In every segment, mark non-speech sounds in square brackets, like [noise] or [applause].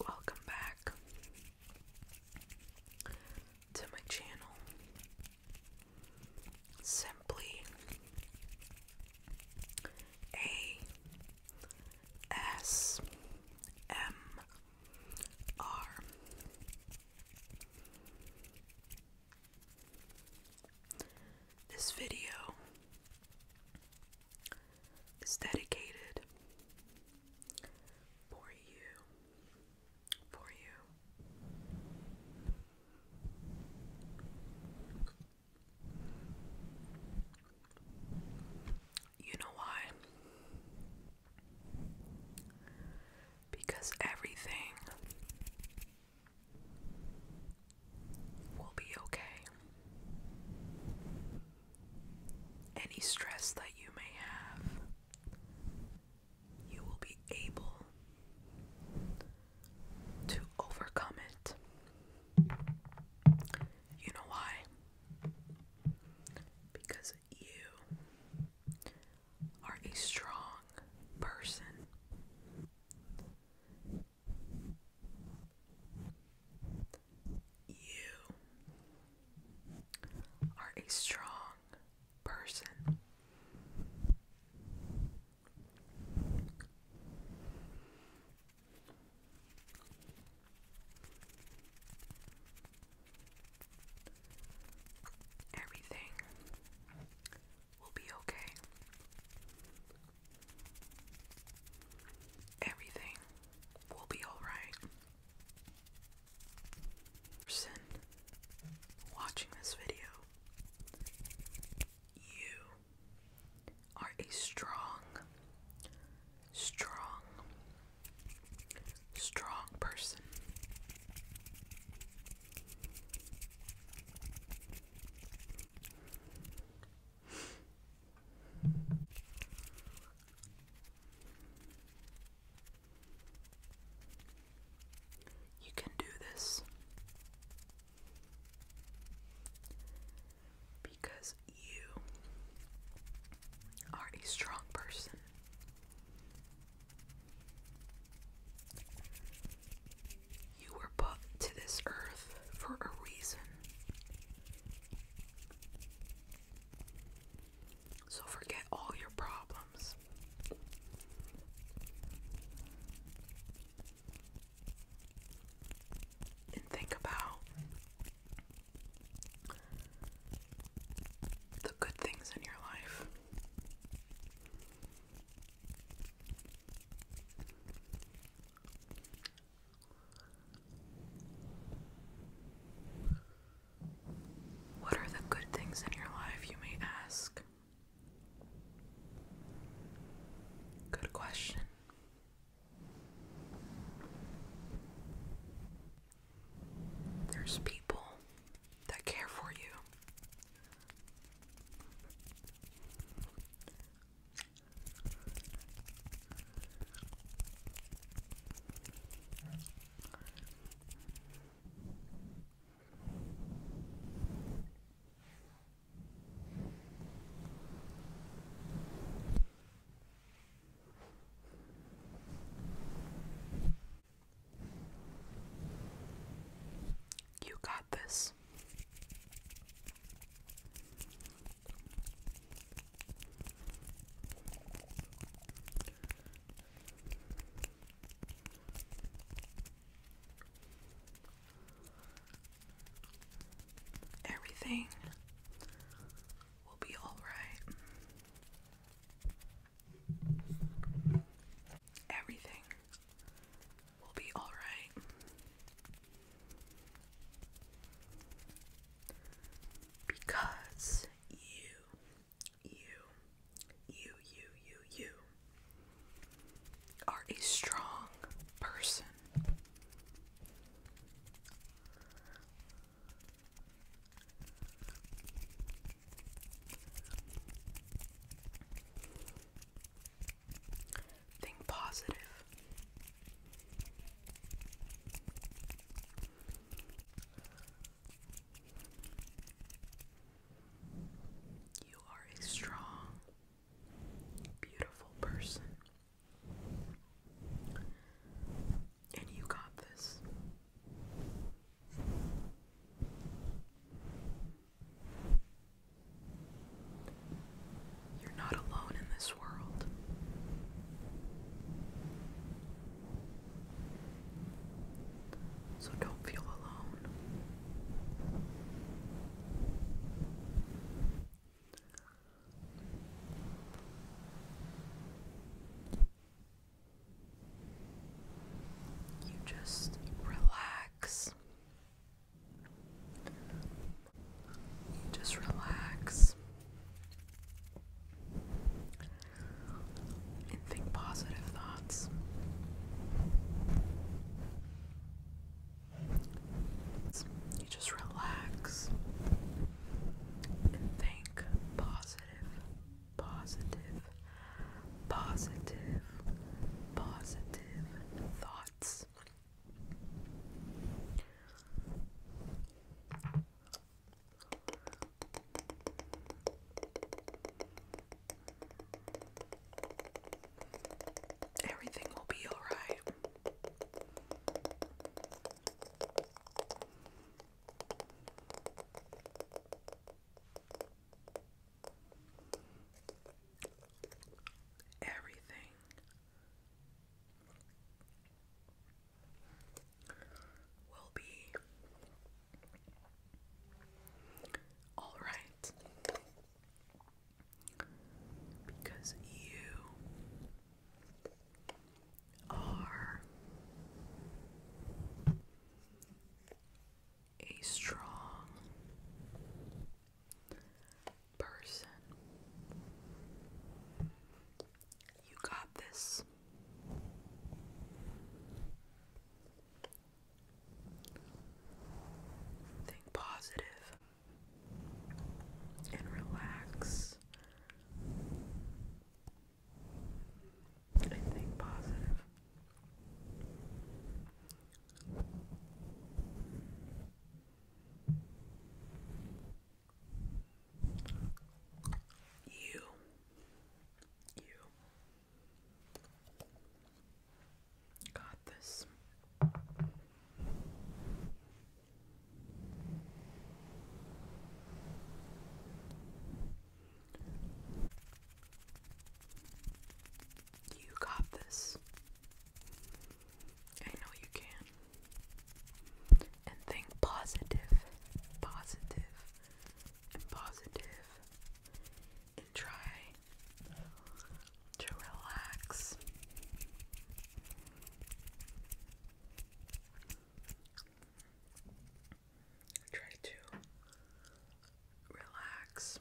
Welcome back to my channel simply A S M R. This video is dedicated for you for you. You know why? Because everything will be okay. Any stress that you may have you will be able to overcome it. You know why? Because you are a strong person. You are a strong person. Everything will be okay. Everything will be alright person watching this video, you are a strong, strong, strong person. You can do this because you are a strong person. You were put to this earth for a reason. So forget all your problems. And think about the good things in your life. What are the good things in your life, you may ask? Good question. There's people that care for you. You got this. Everything will be all right. Everything will be all right. Because you, you, you, you, you, you are a strong person. Think positive. You are a strong, beautiful person. And you got this. You're not alone in this world. So don't feel alone. You just relax just relax and think positive thoughts. You just relax and think positive, positive, positive, positive thoughts. Everything will be all right. Everything. Will be all right because you are a strong person. You got this. Think positive and relax. think positive. You, you got this. You got this. I know you can. And think positive, positive, and And try to relax try to relax.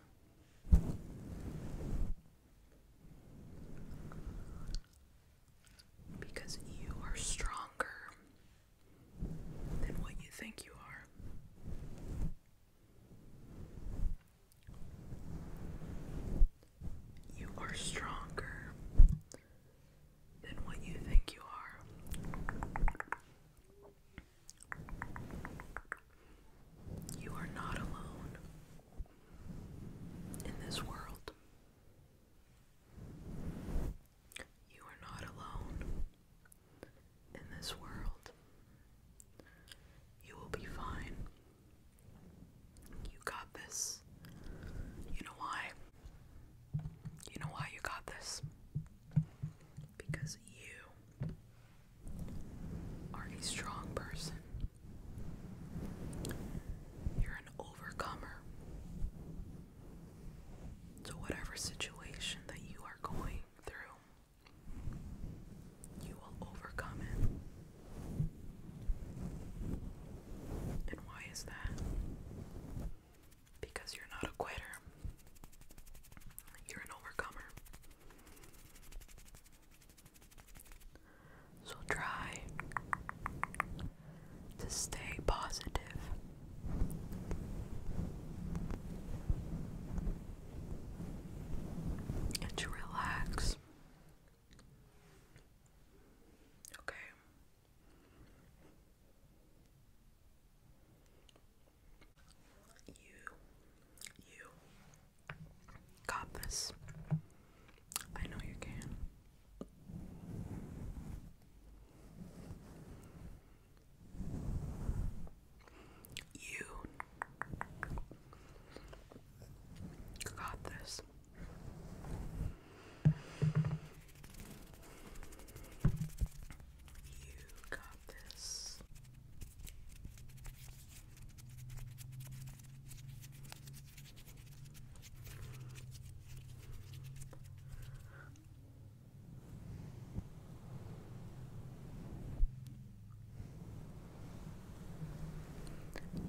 Because you are stronger than what you think you are. You are stronger than what you think you are. You are not alone in this world. You are not alone in this world. You will be fine. You got this. You know why? You know why you got this? Because you are a strong person. You're an overcomer. To whatever situation that you are going through, you will overcome it. And why is that? because you're not a quitter, you're an overcomer. So try to stay And to relax. Okay. You, you got this. I know you can. You got this. You got this.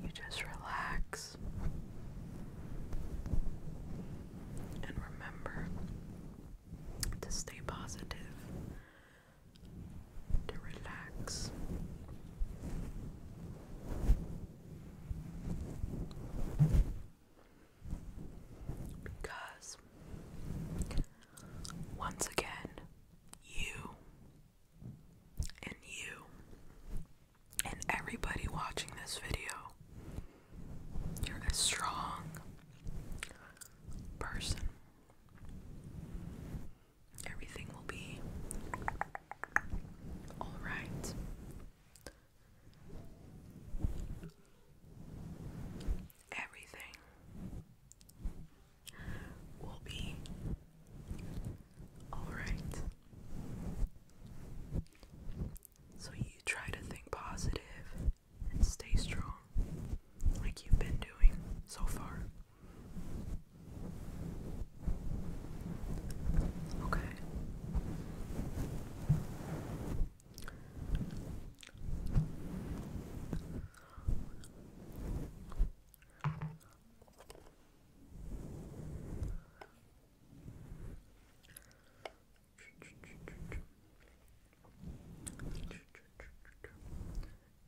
You just relax. And remember to stay positive, to relax. Because once again, you and you and everybody watching this video, you're a strong person. Everything will be all right. Everything will be all right. So you try to think positive and stay strong, like you've been doing so far. Okay.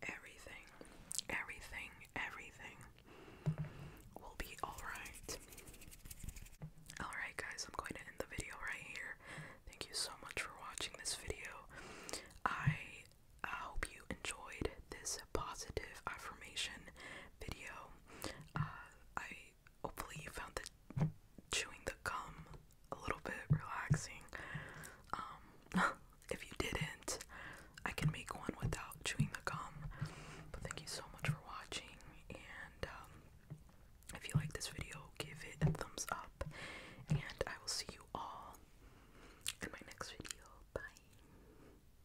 Everything, everything, everything will be alright. Alright, guys, I'm going to end the video right here. Thank you so much for watching this video. I, I hope you enjoyed this positive affirmation video. Uh, I hopefully you found the chewing the gum a little bit relaxing. Um, [laughs] if you didn't, I can make one without chewing the gum. But thank you so much for watching, and um, if you like this video, give it a thumbs up, and I will see you all in my next video. Bye.